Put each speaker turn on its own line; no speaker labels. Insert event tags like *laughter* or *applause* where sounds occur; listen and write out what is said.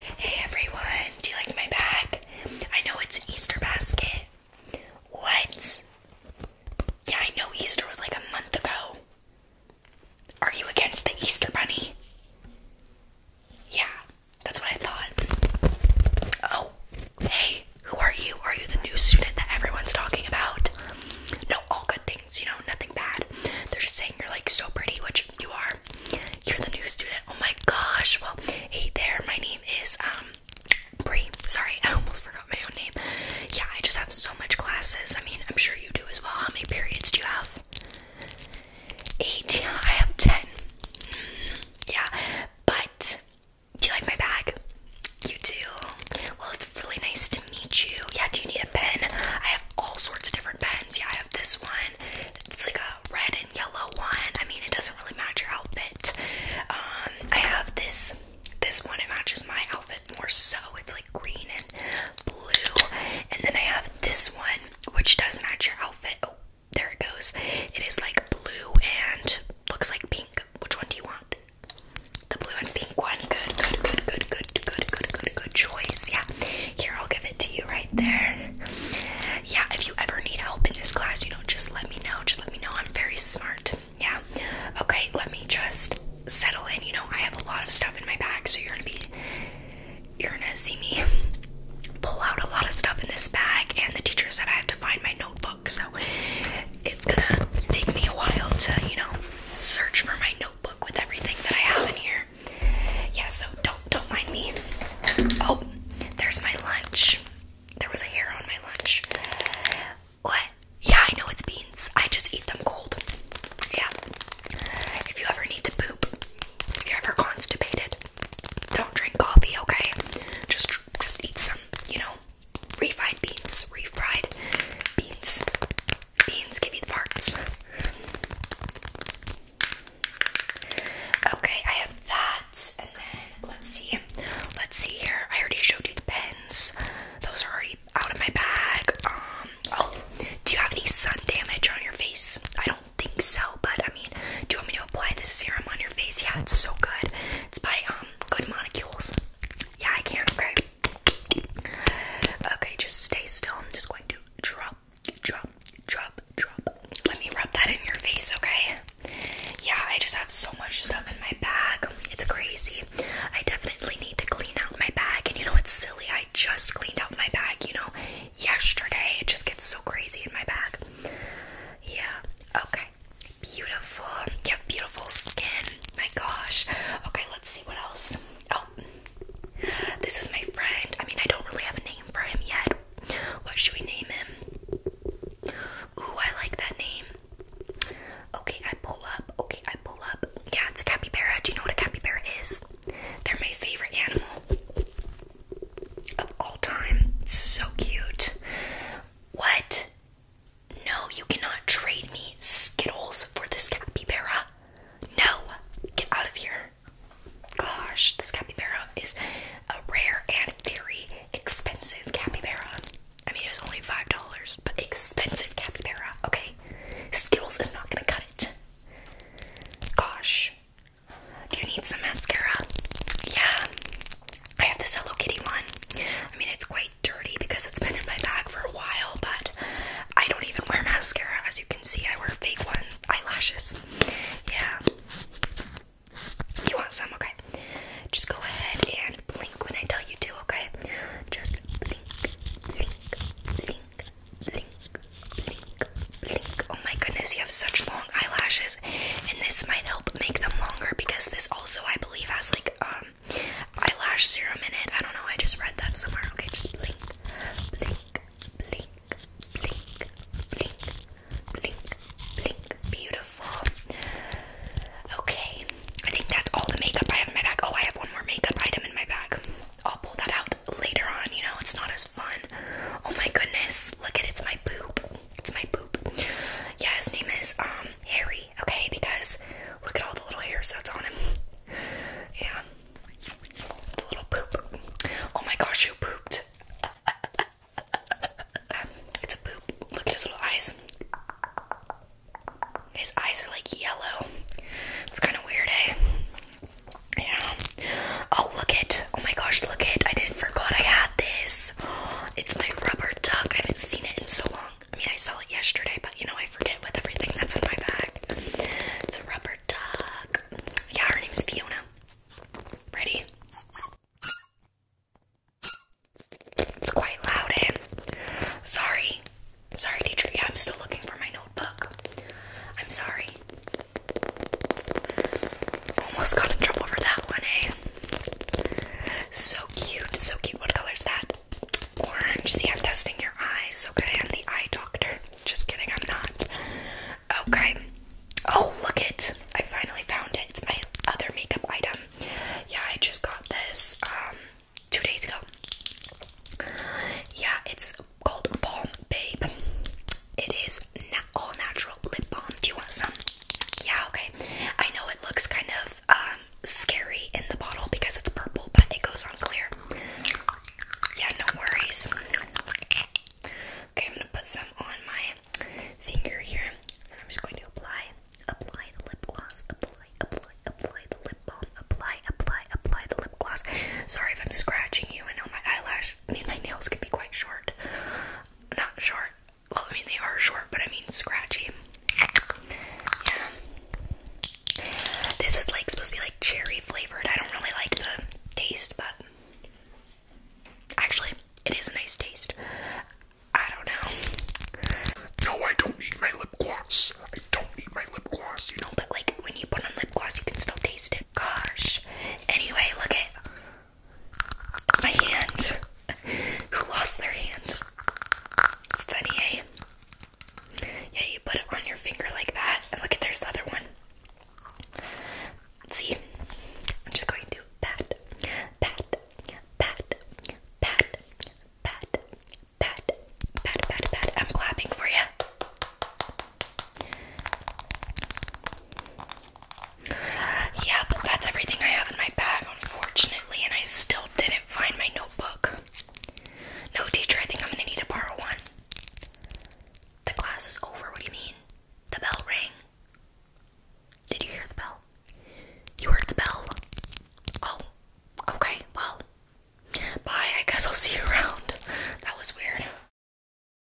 Hey everyone, do you like my bag? I know it's an Easter basket. What? Yeah, I know Easter was like a month ago. Are you against the Easter bunny? Yeah, that's what I thought. Oh, hey, who are you? Are you the new student that everyone's talking about? No, all good things, you know, nothing bad. They're just saying you're like so pretty, which you are. You're the new student. Oh my gosh. Well, hey there. My name is um Bree. Sorry, *laughs* I almost forgot my own name. Yeah, I just have so much classes. I mean, I'm sure you do as well. How many periods do you have? Eighteen. I have ten. Mm, yeah, but do you like my bag? You do. Well, it's really nice to meet you. Yeah, do you need a pen? I have all sorts of different pens. Yeah, I have this one. It's like a red and yellow one. I mean, it doesn't really match your outfit. Um, I have this this one. It matches my outfit more so. It's like green and blue. And then I have this one, which does match your outfit. Oh, there it goes. It is like blue and looks like pink. Which one do you want? The blue and pink one. Good, good, good, good, good, good, good, good, good choice. Yeah. Here, I'll give it to you right there. Yeah, if you ever need help in this class, you know, just let me know. Just let me know. I'm very smart. Yeah. Okay, let me just settle in. You know, I have a lot of stuff in my bag, so you're gonna be you're gonna see me pull out a lot of stuff in this bag and the teacher said I have to find my notebook, so it's gonna take me a while to, you know, search for my notebook with everything that I have in here. Yeah, so don't don't mind me. Oh, there's my lunch. There was a hair on my lunch. What? Yeah, I know it's beans. I just eat them cold. Yeah. If you ever need to poop, if you're ever constipated, don't drink coffee, okay? Just just eat some, you know, refried beans, refried beans. Beans give you the parts. okay, I have that. And then let's see. Let's see here. I already showed you the pens. Those are already out of my bag. Um oh, do you have any sun damage on your face? I don't think so, but I mean, do you want me to apply this serum on your face? Yeah, it's so good. It's by um Good Molecules. Yeah, I can. Okay. Okay, just stay still. I'm just going to drop, drop, drop, drop. Let me rub that in your face, okay? Yeah, I just have so much stuff in my bag. It's crazy. I definitely need to clean out my bag. And you know, it's silly. I just cleaned out my bag, you know, yesterday. It just gets so crazy in my bag. Yeah, okay. Beautiful. You beautiful skin. My gosh. Okay, let's see what else. Oh, this is my friend. I mean, I don't really have a name for him yet. What should we name him? Ooh, I like that name. Okay, I pull up. Okay, I pull up. Yeah, it's a capybara. Do you know what a capybara is? They're my favorite animal of all time. So cute. What? No, you cannot trade me Skittles for this capybara. No, get out of here. Gosh, this capybara is a rare and very expensive capybara. I mean, it was only five dollars, but expensive capybara. Okay, Skittles is not gonna cut it. Gosh, do you need some mascara? Yeah, I have this Hello Kitty one. I mean, it's quite really dirty because it's been in my bag for a while, but I don't even wear mascara. As you can see, I wear fake one eyelashes. Yeah. You want some? Okay. Just go ahead and blink when I tell you to, okay? Just blink, blink, blink, blink, blink, blink. Oh my goodness, you have such long eyelashes, and this might help make them longer because this also, I believe, has like um eyelash serum in it. I don't know, I just read that somewhere. Okay, just blink, blink, blink, blink, blink, blink, blink. Beautiful. Okay, I think that's all the makeup I have in my bag. Oh, I have one more makeup item in my bag. I'll pull that out later on, you know, it's not as fun. Oh my goodness, look at it's my poop. It's my poop. Yeah, his name is um Harry, okay? Because look at all the little hairs that's on him. *laughs* Yeah. It's little poop. Oh my gosh, you pooped? *laughs* it's a poop. Look at his little eyes. His eyes are like yellow. It's kind of weird, eh? Yeah. Oh, look it. Oh my gosh, look it. I did forgot I had this. It's my rubber duck. I haven't seen it in so long. I mean, I saw it yesterday, but you know, I forget with everything that's in my bag. It's a rubber duck. Yeah, her name is Fiona. Ready? It's quite loud, eh? Sorry. Sorry, teacher. I'm still looking for my notebook. I'm sorry. Almost got in trouble for that one, eh? So cute, so cute. What color is that? Orange. See, I'm testing your eyes, okay? I'm the eye doctor. Just kidding, I'm not. Okay. Oh, look it. I finally found it. It's my other makeup item. Yeah, I just got this um, two days ago. Yeah, it's called Balm Babe. It is all natural lip balm. Do you want some? Yeah, okay. I know it looks kind of um, scary in the bottle because it's purple, but it goes on clear. Yeah, no worries. Okay, I'm gonna put some on my finger here, and I'm just going to apply, apply the lip gloss, apply, apply, apply the lip balm, apply, apply, apply the lip gloss. Sorry if I'm scratching you. I know my eyelash, I my nails can be quite short, not short, well, I mean, they are short, but I mean scratchy. Yeah. This is like supposed to be like cherry flavored. I don't really like the taste, but actually, it is a nice taste. I don't know. No, I don't need my lip gloss. I don't eat my lip gloss, you know. But like when you put on lip gloss, you can still taste it. Gosh. Anyway, look at my hand. *laughs* Who lost their hand? It's funny, eh? Yeah, you put it on your finger like that, and look at there's the other one. See? I'm just going to pat, pat, pat, pat, pat, pat, pat, pat, pat. I'm clapping for you. Yeah, but that's everything I have in my bag, unfortunately, and I still didn't find my notebook. No, teacher, I think I'm gonna need to borrow one. The class is over, what do you mean? The bell rang. Did you hear the bell? You heard the bell? Oh, okay, well, bye. I guess I'll see you around. That was weird.